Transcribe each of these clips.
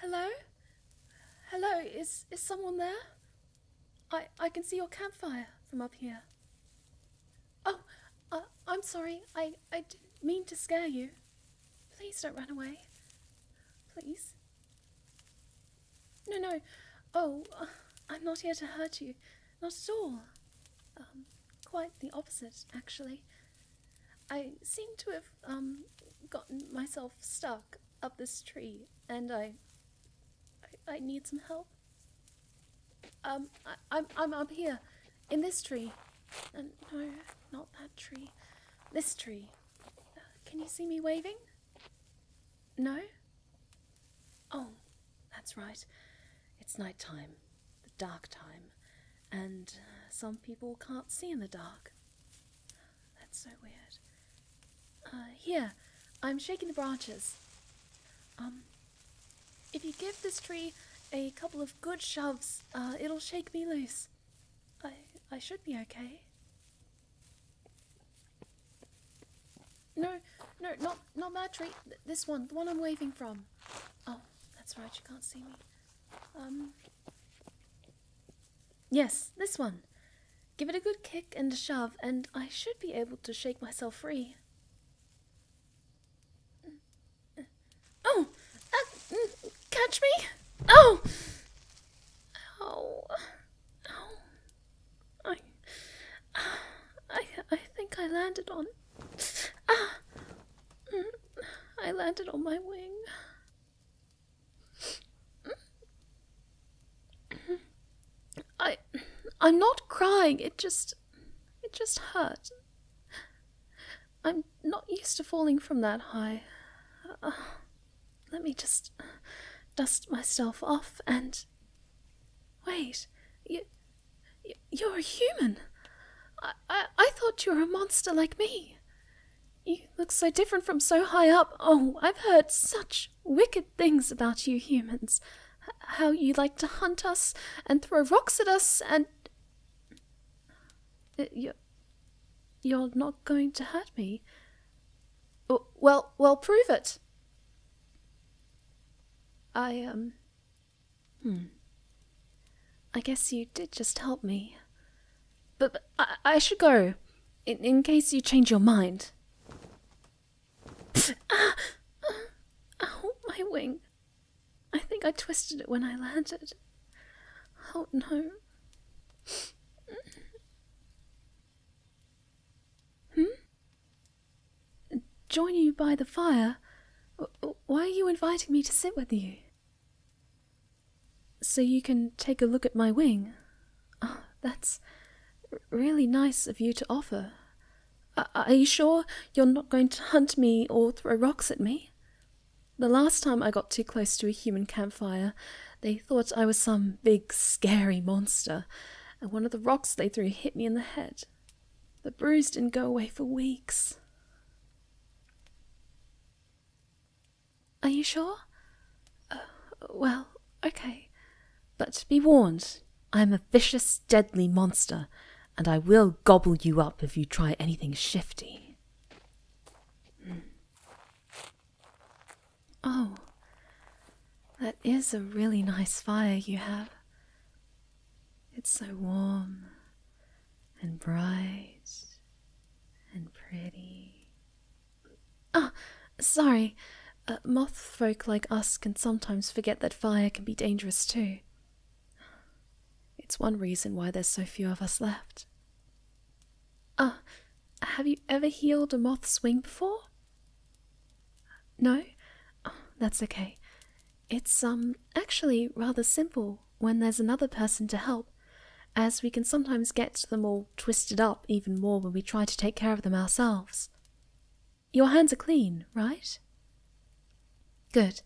Hello? Hello, is, is someone there? I, I can see your campfire from up here. Oh, uh, I'm sorry. I, I didn't mean to scare you. Please don't run away. Please. No, no. Oh, I'm not here to hurt you. Not at all. Um, quite the opposite, actually. I seem to have um, gotten myself stuck up this tree, and I, I, need some help. Um, I, I'm I'm here, in this tree. Uh, no, not that tree. This tree. Uh, can you see me waving? No? Oh, that's right. It's night time, the dark time, and uh, some people can't see in the dark. That's so weird. Uh, here, I'm shaking the branches. Um, if you give this tree a couple of good shoves, uh, it'll shake me loose. I, I should be okay. No, no, not not that tree. this one, the one I'm waving from. Oh, that's right, you can't see me. Um. Yes, this one. Give it a good kick and a shove, and I should be able to shake myself free. Oh! Uh, mm, catch me! Oh! Ow. Ow. I, I, I think I landed on. Ah, I landed on my wing. I, I'm not crying. It just, it just hurt. I'm not used to falling from that high. Ah, let me just dust myself off and Wait, you, you're a human. I, I, thought you were a monster like me. You look so different from so high up. Oh, I've heard such wicked things about you humans. how you like to hunt us and throw rocks at us and. Uh, you're, you're not going to hurt me. Well, well, prove it, I, um. Hmm. I guess you did just help me. But, I, should go. In, case you change your mind. ah! Ow, ah, my wing. I think I twisted it when I landed. Oh no. Hmm? Join you by the fire? Why are you inviting me to sit with you? So you can take a look at my wing? Ah, that's really nice of you to offer. are you sure you're not going to hunt me or throw rocks at me? The last time I got too close to a human campfire, they thought I was some big, scary monster, and one of the rocks they threw hit me in the head. The bruise didn't go away for weeks. Are you sure? Uh, well, okay. But be warned, I am a vicious, deadly monster, and I will gobble you up if you try anything shifty. Mm. Oh, that is a really nice fire you have. It's so warm and bright and pretty. Ah, oh, sorry. Uh, moth folk like us can sometimes forget that fire can be dangerous too. It's one reason why there's so few of us left. Ah, have you ever healed a moth's wing before? No? Oh, that's okay. It's, um, actually rather simple when there's another person to help, as we can sometimes get them all twisted up even more when we try to take care of them ourselves. Your hands are clean, right? Good.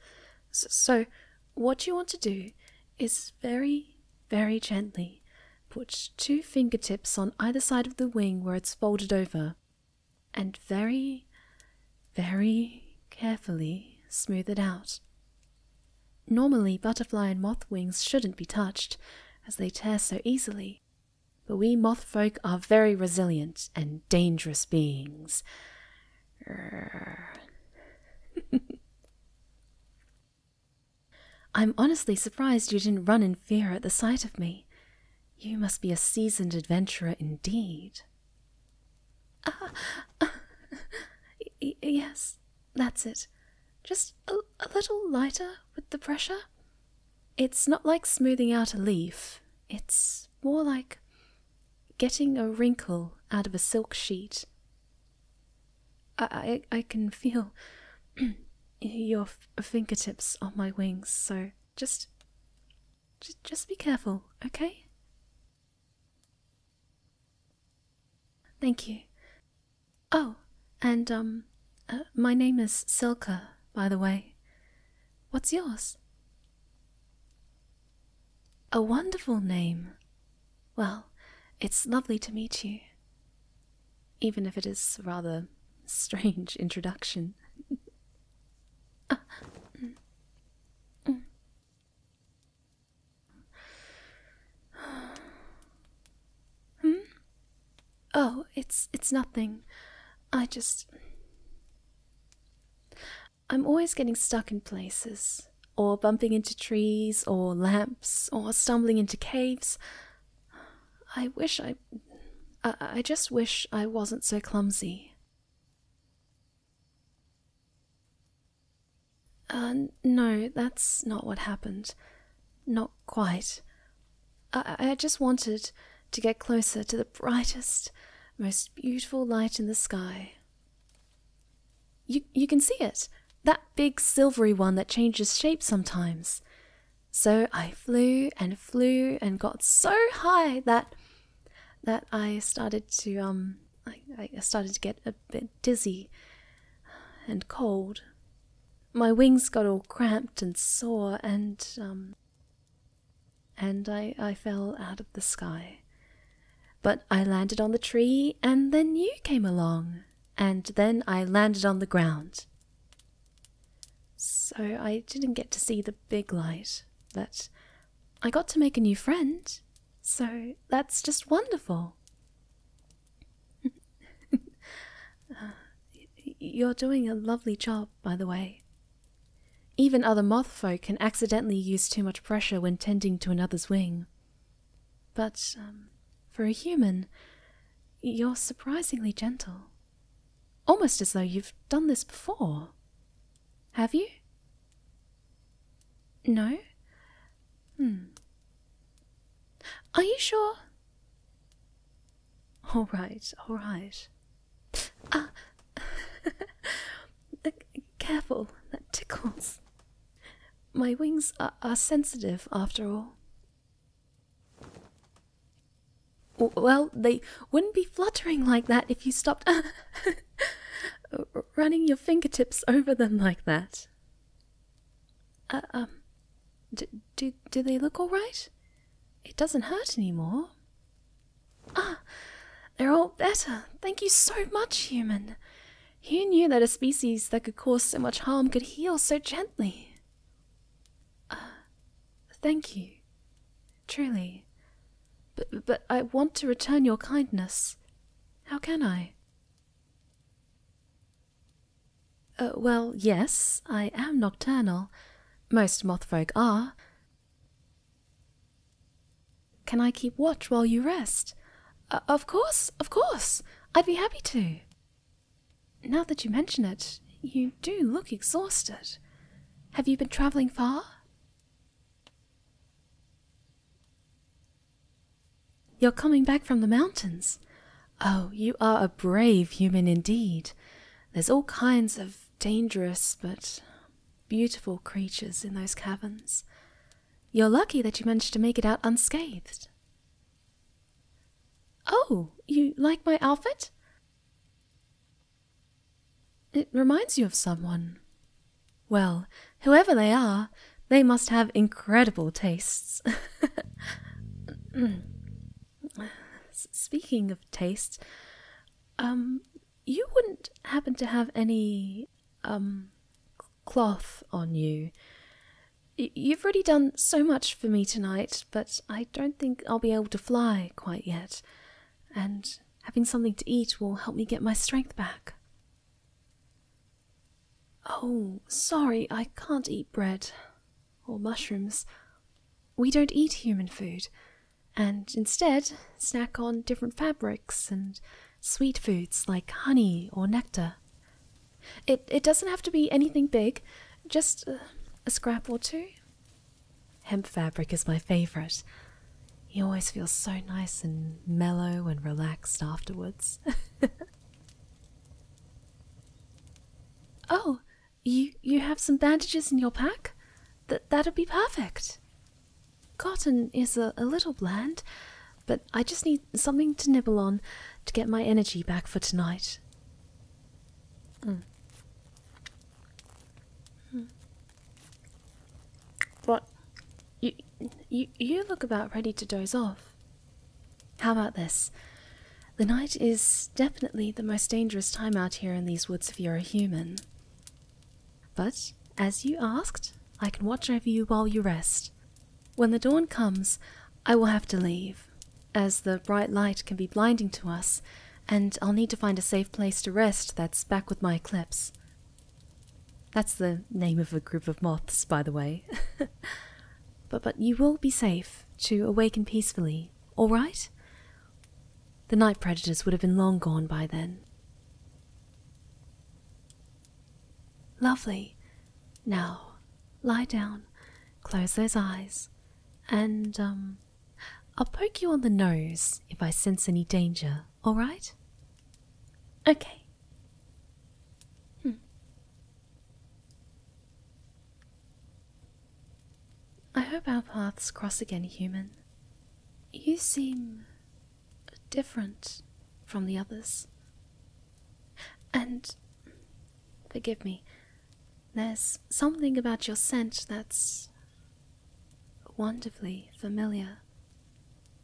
So, what you want to do is very, very gently put two fingertips on either side of the wing where it's folded over and very, very carefully smooth it out. Normally, butterfly and moth wings shouldn't be touched, as they tear so easily. But we moth folk are very resilient and dangerous beings. I'm honestly surprised you didn't run in fear at the sight of me. You must be a seasoned adventurer indeed. Ah, ah yes, that's it. Just a, little lighter with the pressure. It's not like smoothing out a leaf, it's more like getting a wrinkle out of a silk sheet. I, I can feel your fingertips on my wings, so just, just, be careful, okay? Thank you. Oh, and um, uh, my name is Silka, by the way. What's yours? A wonderful name. Well, it's lovely to meet you even if it is rather strange introduction. Hmm? Oh, it's it's nothing. I just I'm always getting stuck in places, or bumping into trees, or lamps, or stumbling into caves. I wish I. I, just wish I wasn't so clumsy. Uh, no, that's not what happened. Not quite. I, I just wanted to get closer to the brightest, most beautiful light in the sky. You, you can see it! That big silvery one that changes shape sometimes. So I flew and flew and got so high that that I started to um I, started to get a bit dizzy and cold. My wings got all cramped and sore and um and I I fell out of the sky. But I landed on the tree and then you came along and then I landed on the ground so I didn't get to see the big light, but I got to make a new friend, so that's just wonderful. you're doing a lovely job, by the way. Even other moth folk can accidentally use too much pressure when tending to another's wing. But um, for a human, you're surprisingly gentle. Almost as though you've done this before. Have you? No? Hmm. Are you sure? All right, all right. Ah! Careful, that tickles. My wings are sensitive, after all. Well, they wouldn't be fluttering like that if you stopped running your fingertips over them like that. Uh, um, do, do, they look all right? It doesn't hurt anymore. Ah, they're all better. Thank you so much, human. Who knew that a species that could cause so much harm could heal so gently? Ah, thank you, truly. But, but I want to return your kindness. How can I? Uh, well, yes, I am nocturnal. Most mothfolk are. Can I keep watch while you rest? Uh, of course, of course. I'd be happy to. Now that you mention it, you do look exhausted. Have you been travelling far? You're coming back from the mountains. Oh, you are a brave human indeed. There's all kinds of dangerous but beautiful creatures in those caverns. You're lucky that you managed to make it out unscathed. Oh, you like my outfit? It reminds you of someone. Well, whoever they are, they must have incredible tastes. Speaking of tastes, um, you wouldn't happen to have any, um, cloth on you. You've already done so much for me tonight, but I don't think I'll be able to fly quite yet, and having something to eat will help me get my strength back. Oh, sorry, I can't eat bread or mushrooms. We don't eat human food, and instead snack on different fabrics and sweet foods like honey or nectar. It it doesn't have to be anything big, just a scrap or two. Hemp fabric is my favorite. You always feel so nice and mellow and relaxed afterwards. oh, you you have some bandages in your pack? Th that will be perfect. Cotton is a little bland, but I just need something to nibble on to get my energy back for tonight. Mm. Mm. What? You, you, you look about ready to doze off. How about this? The night is definitely the most dangerous time out here in these woods if you're a human. But, as you asked, I can watch over you while you rest. When the dawn comes, I will have to leave, as the bright light can be blinding to us, and I'll need to find a safe place to rest that's back with my eclipse. That's the name of a group of moths, by the way. but but you will be safe to awaken peacefully, all right? The night predators would have been long gone by then. Lovely. Now, Lie down, close those eyes, and, um, I'll poke you on the nose if I sense any danger, alright? Okay. Hmm. I hope our paths cross again, human. You seem different from the others. And forgive me, there's something about your scent that's wonderfully familiar.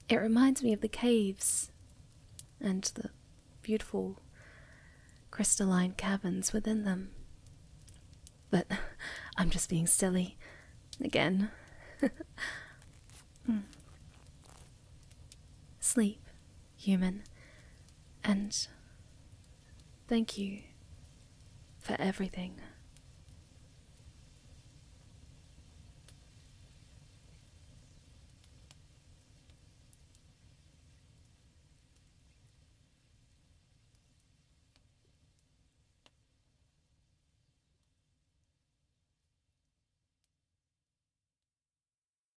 It reminds me of the caves and the beautiful crystalline caverns within them. But I'm just being silly again. Hmm. Sleep human, and thank you for everything.